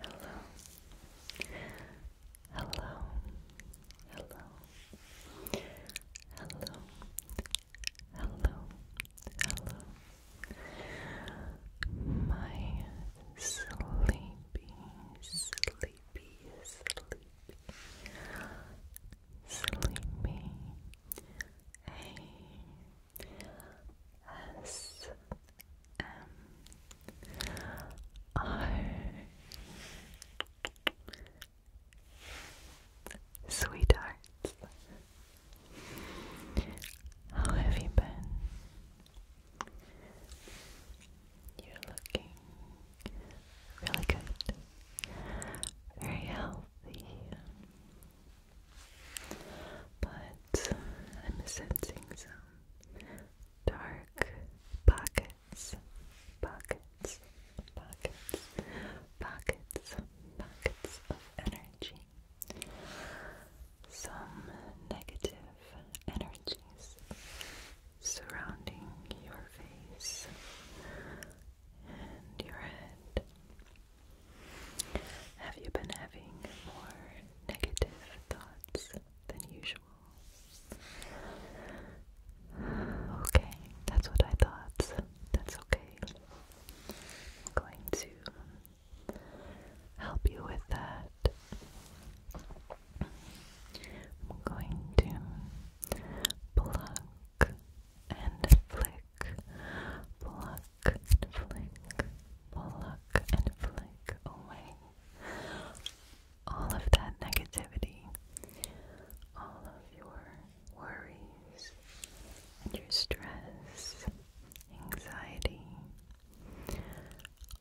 Hello. Hello. Hello. Hello. Hello. Hello. My sleepy, sleepy, sleepy, Sleepy A S M R Sweethearts How have you been? You're looking Really good. Very healthy. But I'm sensing some dark pockets, pockets, pockets, pockets, pockets of energy. Some negative energies surrounding your face and your head. Have you been having more negative thoughts than usual? Okay, that's what I thought. That's okay. I'm going to help you with that. I'm going to plug and flick, pluck flick, pluck and flick away all of that negativity, all of your worries your stress, anxiety,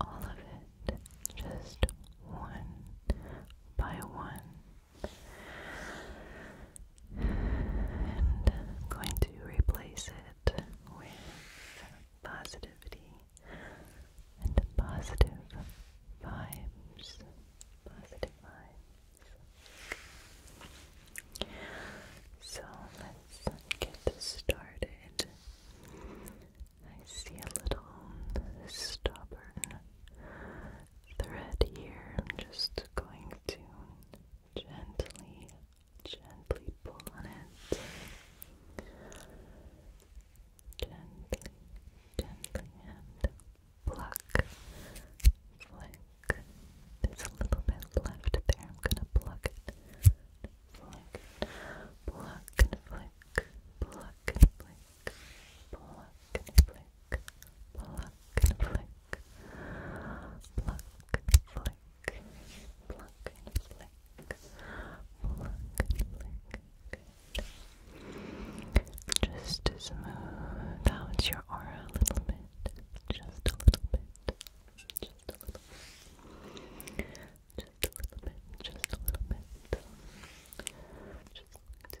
all of it, just one by one and I'm going to replace it with positivity and positive vibes. Positive vibes. So let's get started. I see a little stubborn thread here. I'm just going to gently, gently pull on it. Gently, gently, and pluck. Flick. There's a little bit left there. I'm gonna pluck it. Flick. Pluck and flick. Pluck pluck and flick, pluck and flick, pluck and flick, pluck and flick, pluck and flick. Just to smooth out your aura a little bit, just a little bit, just a little bit. Just a little bit, just a little bit. Just going to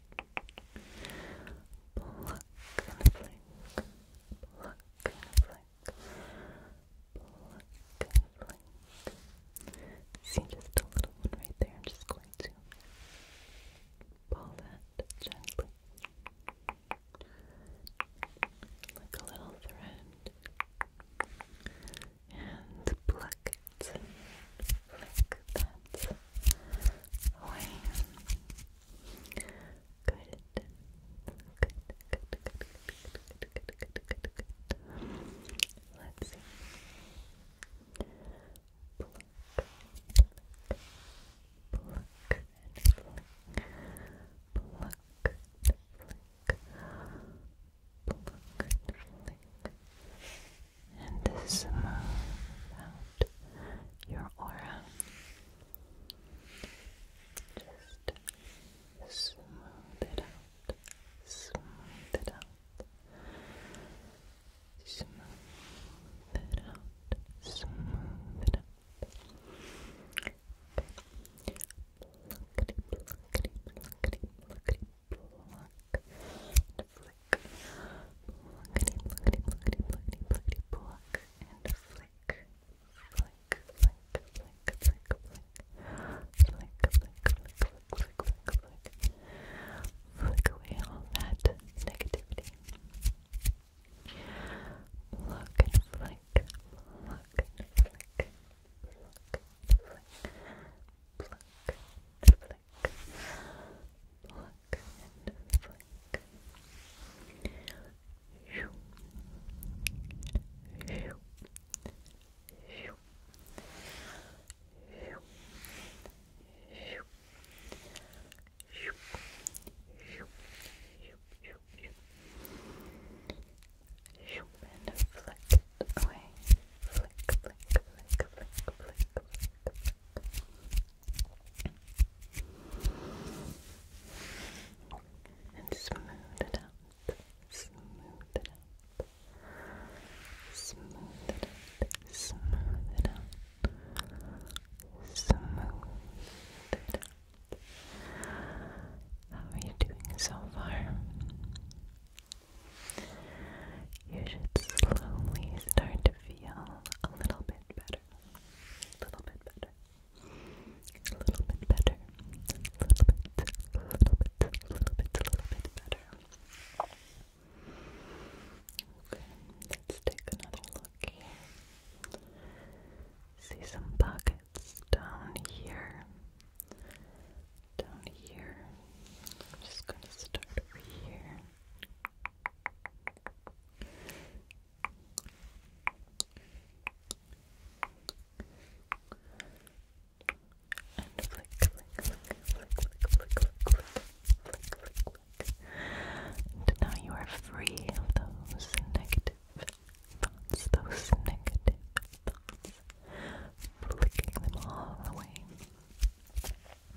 Pluck and flick, pluck and flick, pluck and flick. See just a little one right there. I'm just going to pull that gently. Like a little thread. And pluck flick that away. Good. Good, good, good, good, good, good, good, good, good. Let's see. Pluck, pluck, pluck, and flick. flick, flick. flick, and smooth out your aura. Just smooth it out, smooth it out, smooth it out, smooth it out. Okay. Pluckety, pluckety, pluckety, pluckety, pluckety, and flick. Pluckety, pluckety, pluckety, pluckety, pluckety, pluck and flick. Flick, flick, flick, flick, flick. Flick, flick, flick, flick, flick, flick, flick. Flick away all that negativity. Pluck and flick. Pluck and flick. Pluck, flick, pluck, flick pluck and flick. Shoo. Shoo. Shoo. Shoo. Shoo. Shoo. Shoo. Shoo. Shoo. Shoo. And flick away. flick, flick, flick, flick, flick, flick, and smooth it out, smooth it out, smooth it out, smooth it out, smooth it out. How are you doing so far? You should slowly start to feel a little bit better. A little bit better. A little bit better. A little bit, a little bit, a little bit, a little bit better. Okay, let's take another look here. See some pockets down here. Down here. I'm just gonna start over here. And now you are free of those negative thoughts, those negative thoughts, flicking them all away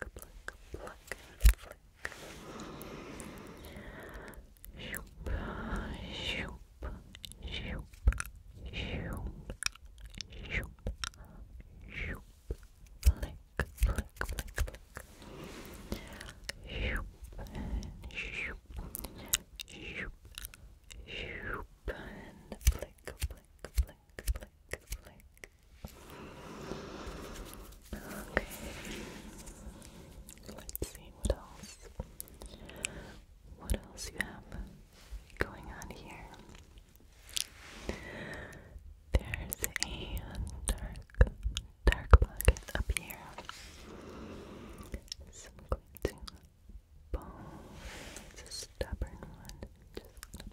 pluck, pluck, and flick. Shoop, shoop, shoop, shoop, shoop, shoop, flick, flick, flick, flick. Shoop, and shoop, shoop, shoop, and flick, flick, flick. Okay. Let's see what else. What else you have going on here? There's a dark, dark pocket up here. I'm going to bone. It's a stubborn one.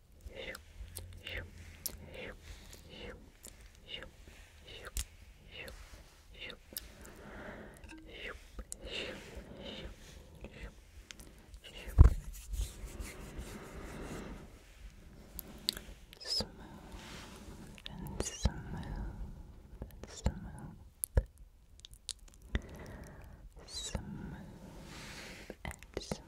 Smooth and smooth and smooth. Smooth and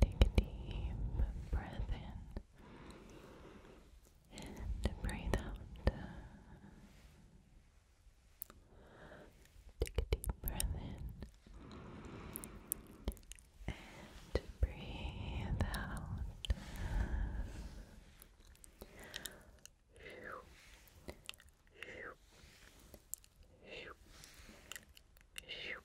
Take a deep breath in and breathe out. Take a deep breath in and breathe out. Shoop, shoop, shoop,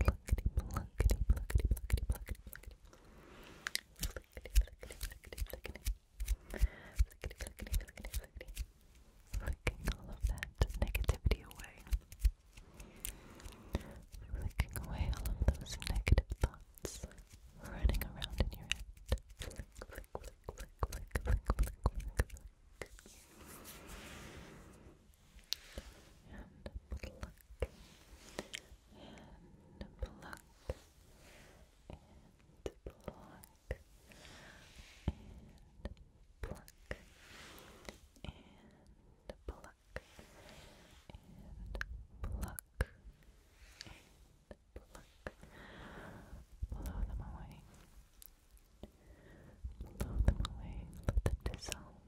pluckety, pluckety, pluckety, pluckety, pluckety, pluckety, pluckety. Flickety, flickety, flickety, flickety. Flickety, flickety, flickety, flickety. Flicking all of that negativity away. Flicking away all of those negative thoughts running around in your head. Flick, flick, flick, flick, flick, flick, flick, flick, flick and pluck and pluck and pluck and pluck and pluck and pluck and pluck blow them away blow them away, let them dissolve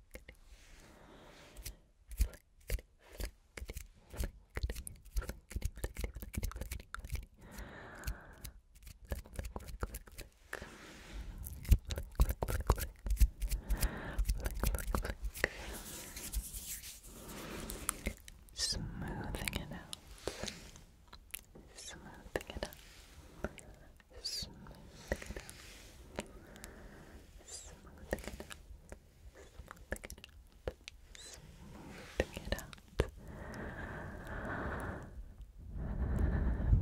Smoothing it out. Smoothing it out smoothing it up, smoothing it up, smoothing it up, smoothing it out.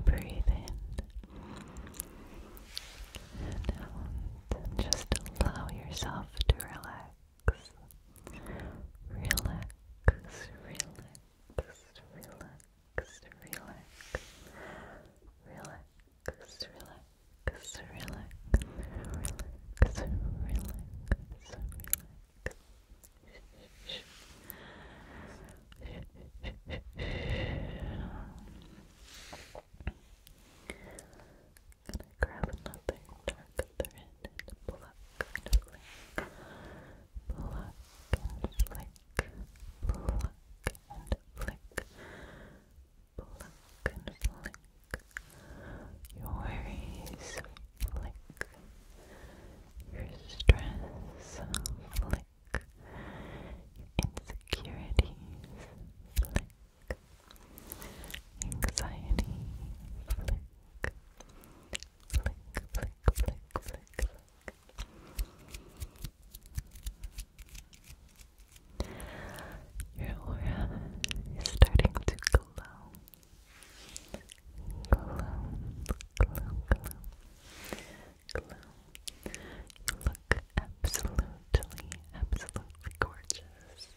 Breathe in and out, just allow yourself to relax, relax, relax, relax relax, relax, relax, relax, relax. Gonna grab another dark thread and pluck and flick, pluck and flick, pluck and flick, pluck and flick, your worries, flick, your stress, flick, insecurities, flick, anxiety, flick, flick, flick, flick, flick. Your aura is starting to glow. Glow, glow, glow, glow. You look absolutely, absolutely gorgeous.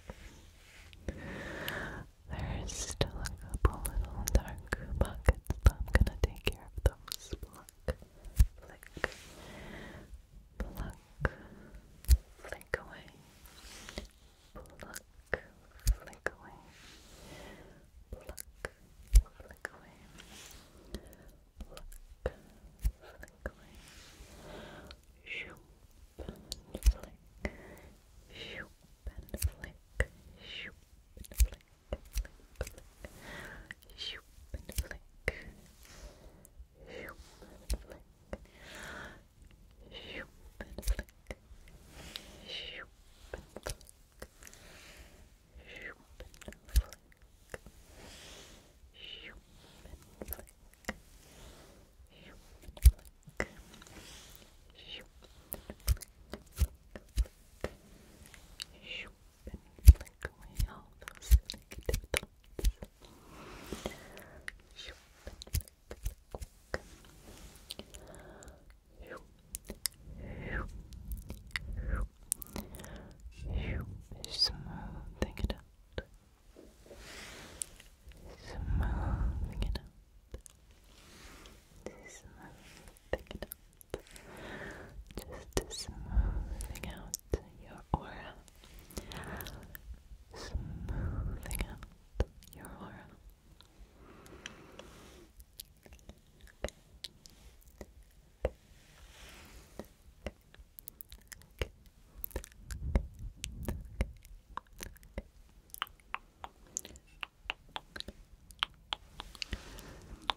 There is still a couple little dark pockets, but I'm gonna take care of those. Pluck, flick, pluck, flick away, pluck, flick away, pluck, flick away, pluck, flick away, shoop flick, shoop flick, shoop flick flick, shoop and flick, shoop and flick, shoop and flick, shoop and flick, shoop and flick, shoop and flick. Shoop, flick, flick, flick, shoop, and flick away all those negative it out. Smoothing it it out. Just smoothing out your aura. Smoothing out your aura.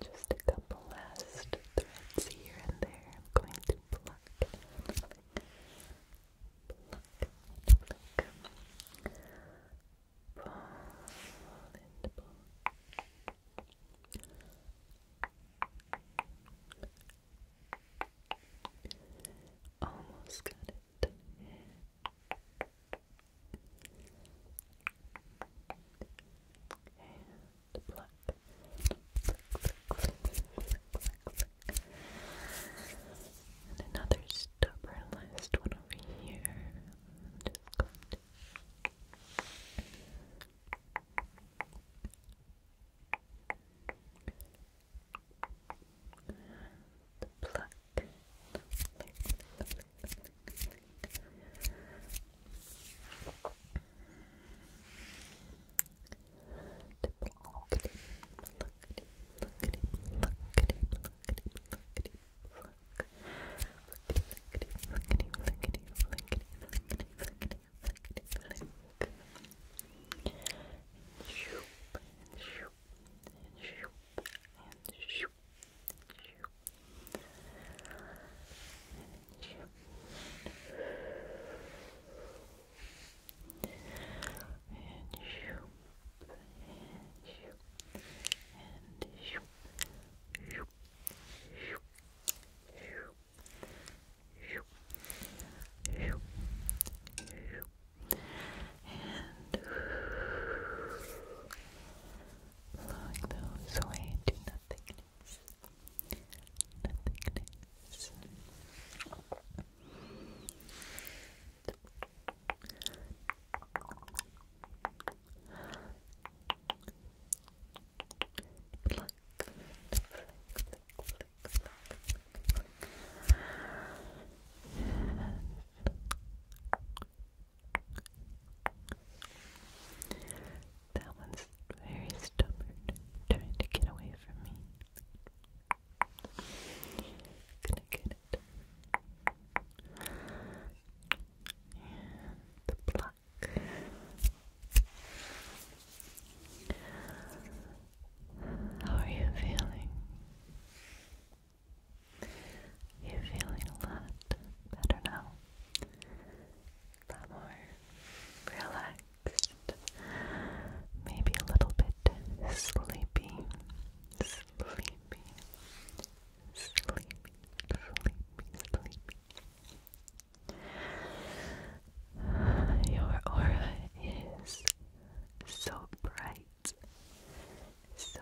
Just a couple last threads here and there. I'm going to pluck, pluck, pluck, pull and pull. Almost got it. And pluck. And another stubborn last one over here. just going to the pluck. The pluckety, flickety flick. And shoop, and shoop, and shoop, and shoop, and shoop. And shoop. And shoop. And shoop. And shoop. Shoop. Shoop. Shoop blowing those away to nothingness, nothingness. Pluck, flick, flick, that one's very stubborn, trying to get away from me. Gonna get it. the block back. How are you feeling? you feeling a lot better now. A lot more relaxed. Maybe a little bit sleepy. Sleepy. Sleepy. Sleepy. Sleepy. Your aura is so bright, so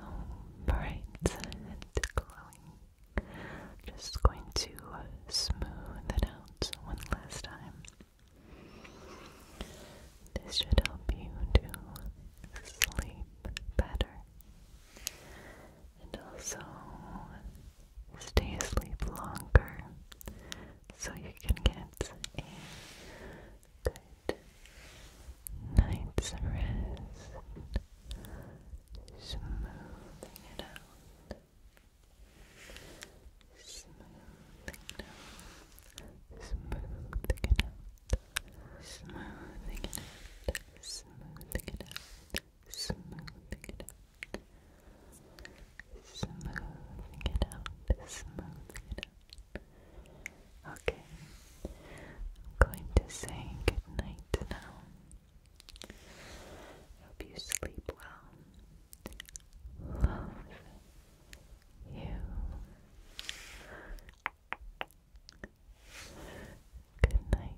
bright and glowing. Just going to smooth it out one last time. This should help you to sleep better and also stay asleep longer so you can get a good night's rest. Smoothing it out. Smoothing it out. Smoothing it out. Smoothing it out. Smoothing it out smoothing it out, smoothing it out, smoothing it out. Okay, I'm going to say good now. Hope you sleep well. Love you. Good night.